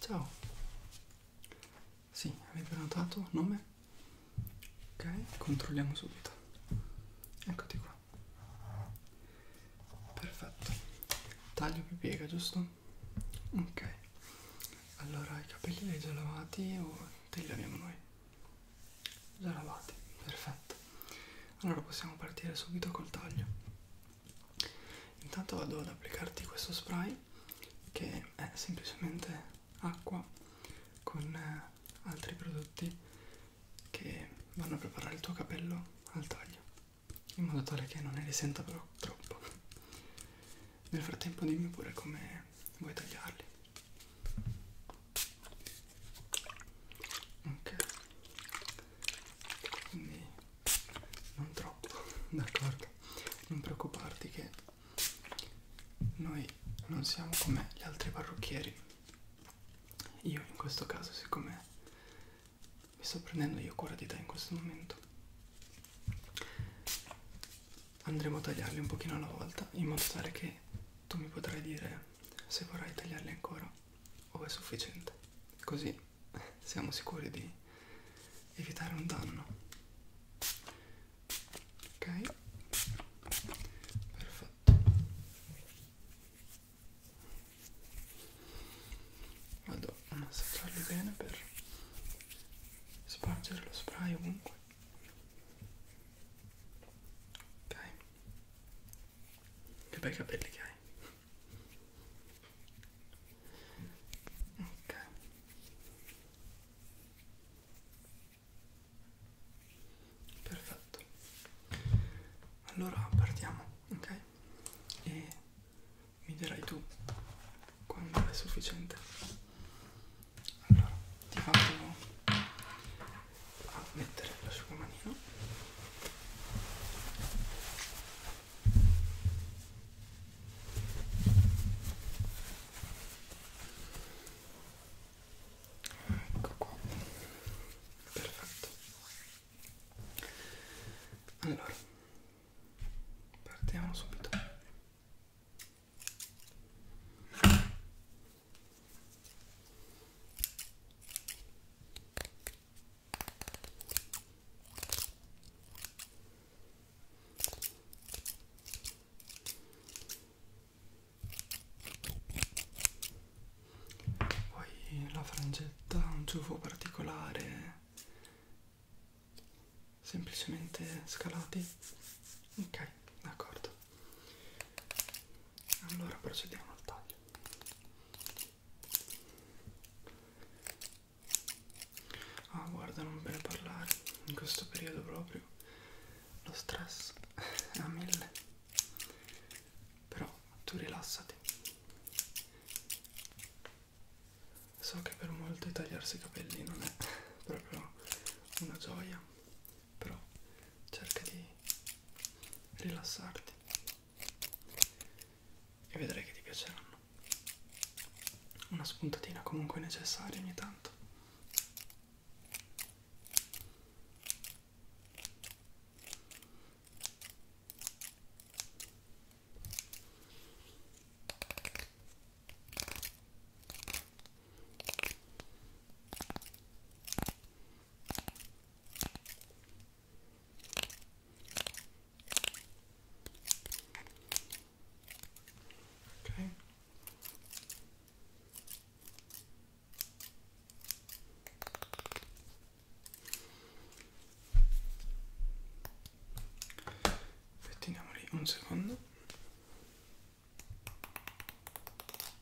Ciao. Sì, avevi prenotato nome? Ok, controlliamo subito. Eccoti qua. Perfetto. Taglio più piega, giusto? Ok. Allora, i capelli li hai già lavati o te li laviamo noi? Già lavati, perfetto. Allora possiamo partire subito col taglio intanto vado ad applicarti questo spray che è semplicemente acqua con eh, altri prodotti che vanno a preparare il tuo capello al taglio in modo tale che non ne risenta però troppo nel frattempo dimmi pure come vuoi tagliarli ok quindi non troppo, d'accordo? Non preoccuparti che noi non siamo come gli altri parrucchieri. Io in questo caso, siccome mi sto prendendo io cura di te in questo momento, andremo a tagliarli un pochino alla volta in modo tale che tu mi potrai dire se vorrai tagliarli ancora o è sufficiente. Così siamo sicuri di evitare un danno ok perfetto vado a massaggiarli bene per spargere lo spray ovunque ok che bei capelli che hai ok perfetto allora partiamo ok e mi dirai tu quando è sufficiente allora ti faccio a mettere l'asciugamanino ecco qua perfetto allora partiamo subito poi la frangetta ha un ciuffo particolare, semplicemente scalati. Ok, d'accordo allora procediamo al taglio ah guarda non bene parlare in questo periodo proprio lo stress è a mille però tu rilassati so che per molti tagliarsi i capelli non è proprio una gioia però cerca di rilassarti e vedrai che ti piaceranno. Una spuntatina comunque necessaria ogni tanto. Ok. Aspettiamoli un secondo.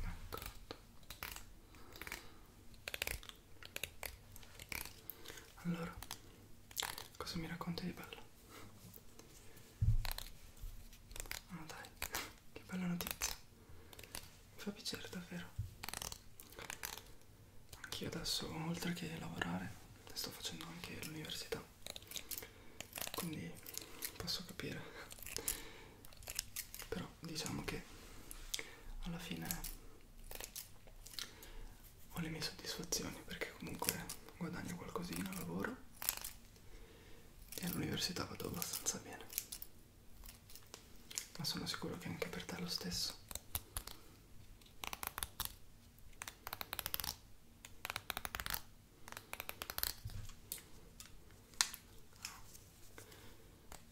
D'accordo. Allora, cosa mi racconti di bello? Ah dai, che bella notizia. Mi fa piacere davvero. Anch'io adesso, oltre che lavorare, sto facendo anche l'università quindi posso capire però diciamo che alla fine ho le mie soddisfazioni perché comunque guadagno qualcosina lavoro e all'università vado abbastanza bene ma sono sicuro che anche per te è lo stesso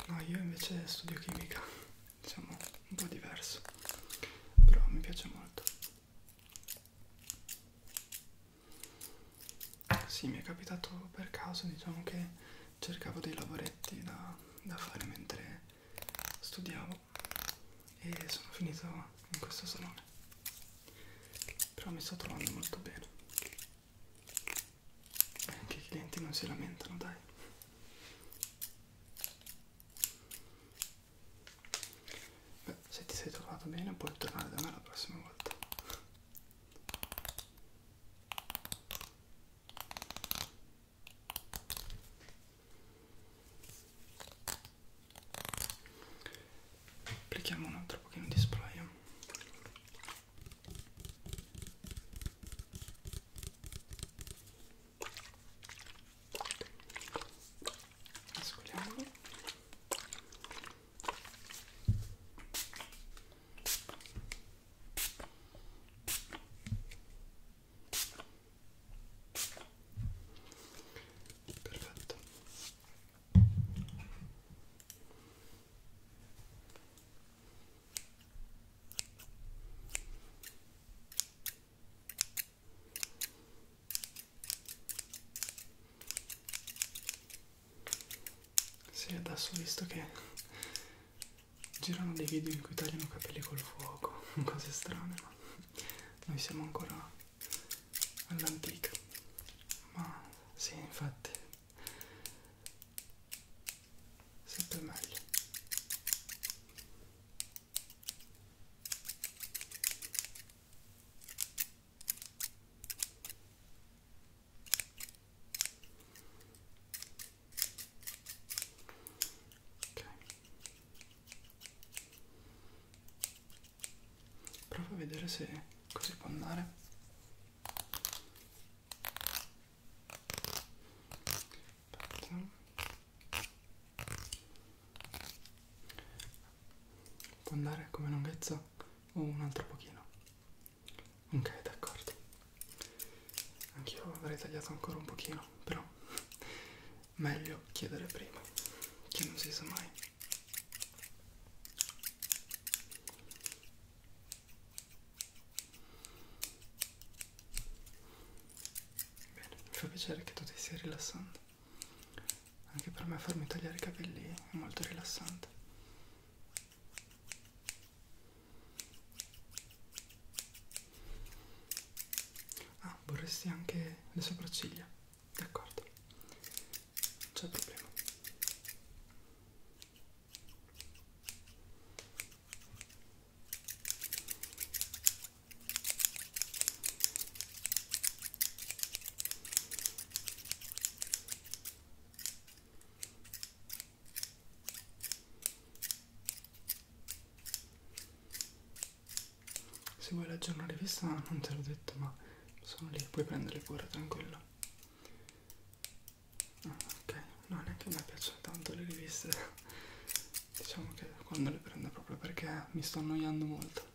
No, io invece studio chimica, diciamo un po' diverso, però mi piace molto. Sì, mi è capitato per caso, diciamo che cercavo dei lavoretti da, da fare mentre studiavo e sono finito in questo salone però mi sto trovando molto bene e anche i clienti non si lamentano dai Beh, se ti sei trovato bene puoi tornare da me la prossima volta applichiamo un altro pochino di spray mescoliamo perfetto sì, adesso ho visto che girano dei video in cui tagliano capelli col fuoco, cose strane, ma noi siamo ancora all'antica ma sì infatti sempre meglio ok Prova a vedere se così può andare. Aspetta. Può andare come lunghezza o un altro pochino? Ok, d'accordo. Anch'io avrei tagliato ancora un pochino, però meglio chiedere prima che non si sa mai bene mi fa piacere che tu ti stia rilassando anche per me farmi tagliare i capelli è molto rilassante Ah, vorresti anche le sopracciglia? D'accordo, non c'è problema. Se vuoi leggere una rivista, non te l'ho detto, ma sono lì, puoi prendere pure, tranquillo. Ah, ok, no, neanche a me piacciono tanto le riviste. diciamo che quando le prendo proprio perché mi sto annoiando molto.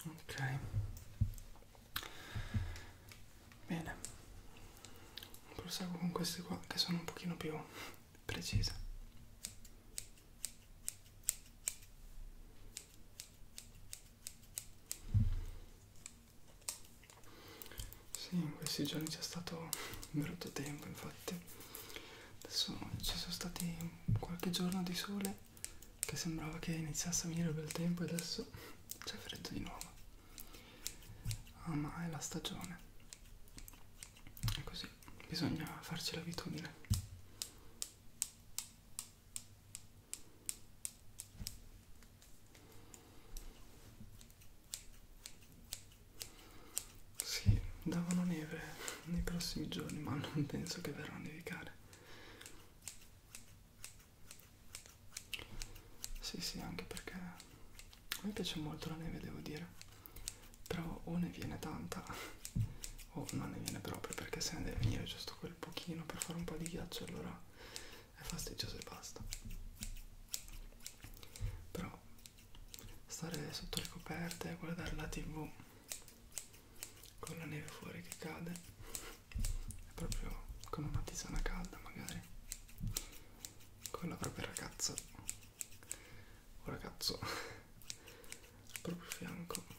Ok. Bene. Proseguo con queste qua che sono un pochino più precise. Sì, in questi giorni c'è stato un brutto tempo, infatti. Adesso ci sono stati qualche giorno di sole che sembrava che iniziasse a venire il bel tempo e adesso c'è freddo di nuovo. Ah, ma è la stagione. È così, bisogna farci l'abitudine. Sì, davano neve nei prossimi giorni, ma non penso che verrà a nevicare. Sì, sì, anche perché a me piace molto la neve, devo dire. Però o ne viene tanta oh, non ne viene proprio perché se ne deve venire giusto quel pochino per fare un po' di ghiaccio allora è fastidioso e basta però stare sotto le coperte e guardare la tv con la neve fuori che cade è proprio come una tisana calda magari con la propria ragazza o ragazzo al proprio fianco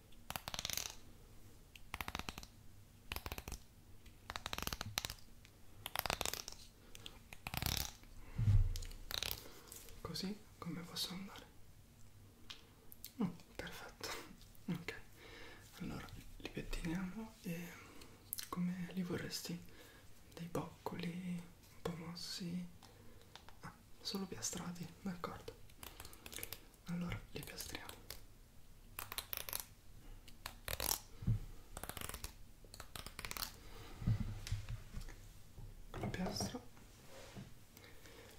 Così come posso andare? Oh, perfetto. Ok. Allora li pettiniamo e come li vorresti? Dei boccoli un po' mossi? Ah, solo piastrati, d'accordo allora li piastriamo la piastra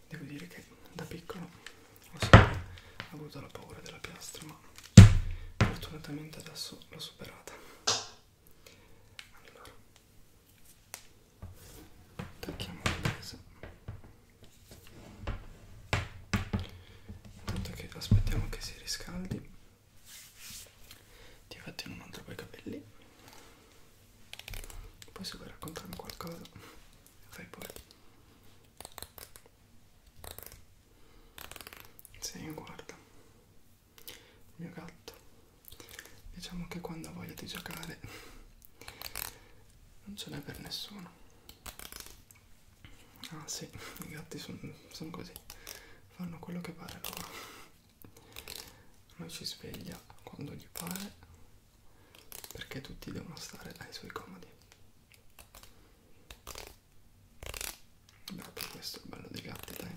devo dire che da piccolo ho sempre avuto la paura della piastra ma fortunatamente adesso l'ho superata allora Attacchiamo la presa. Intanto che aspettiamo che si riscaldi. Ti fatti un altro po' i capelli. Poi se vuoi raccontarmi qualcosa, fai pure. Se io guardo il mio gatto, diciamo che quando ha voglia di giocare non ce n'è per nessuno ah sì i gatti sono son così fanno quello che pare loro noi ci sveglia quando gli pare perché tutti devono stare ai suoi comodi proprio questo è il bello dei gatti dai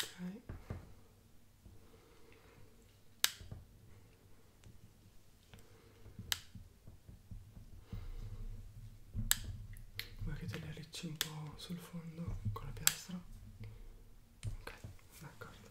Okay. Vuoi che te li arricci un po' sul fondo con la piastra? Ok, d'accordo.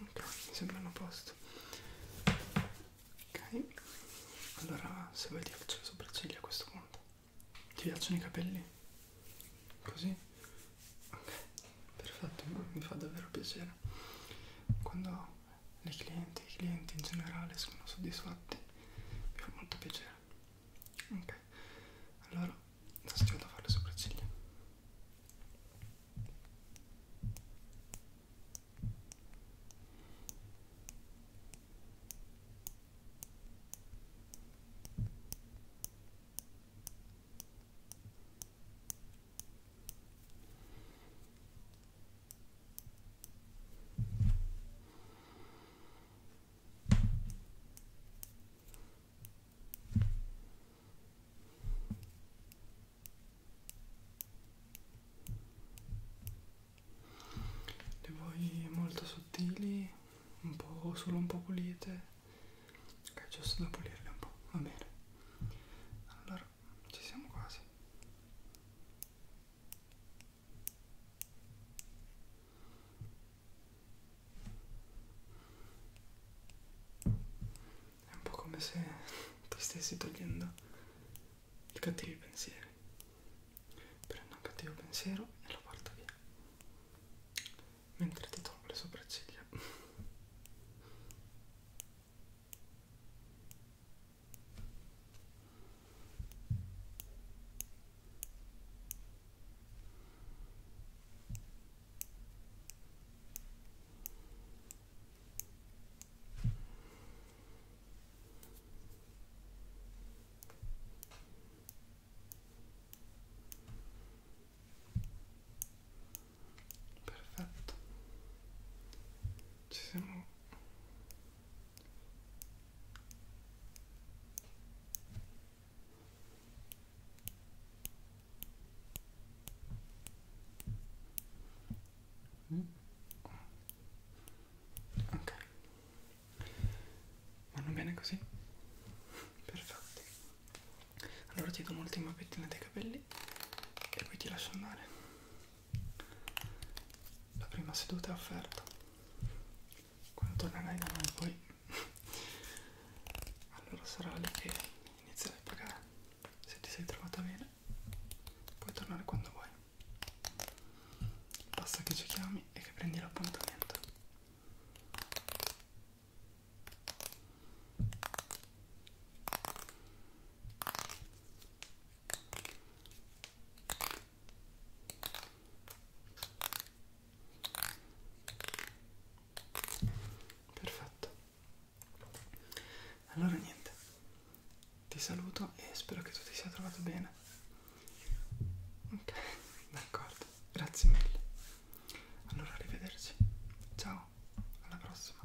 ok mi sembrano a posto ok allora se vuoi ti faccio le sopracciglia a questo punto ti piacciono i capelli? così? ok perfetto mi fa davvero piacere quando le clienti i clienti in generale sono soddisfatti mi fa molto piacere ok allora adesso ti vado a fare le sopracciglia ok le vuoi molto sottili un po' solo un po' pulite ok giusto da pulirle un po' va bene allora ci siamo quasi è un po' come se ti stessi togliendo i cattivi pensieri. Prendo un cattivo pensiero e lo porto via. Mentre ti tolgo le sopracciglia. Perfetto, ci siamo Ok, vanno bene così? Perfetto. Allora ti do un'ultima pettina dei capelli e poi ti lascio andare la prima seduta è offerta quando tornerai da noi poi allora sarà lì che inizierai a pagare se ti sei trovata bene puoi tornare quando vuoi basta che ci chiami e che prendi l'appuntamento Perfetto. Allora niente, ti saluto e spero che tu ti sia trovato bene. Ok, d'accordo, grazie mille. Allora, arrivederci. Ciao, alla prossima.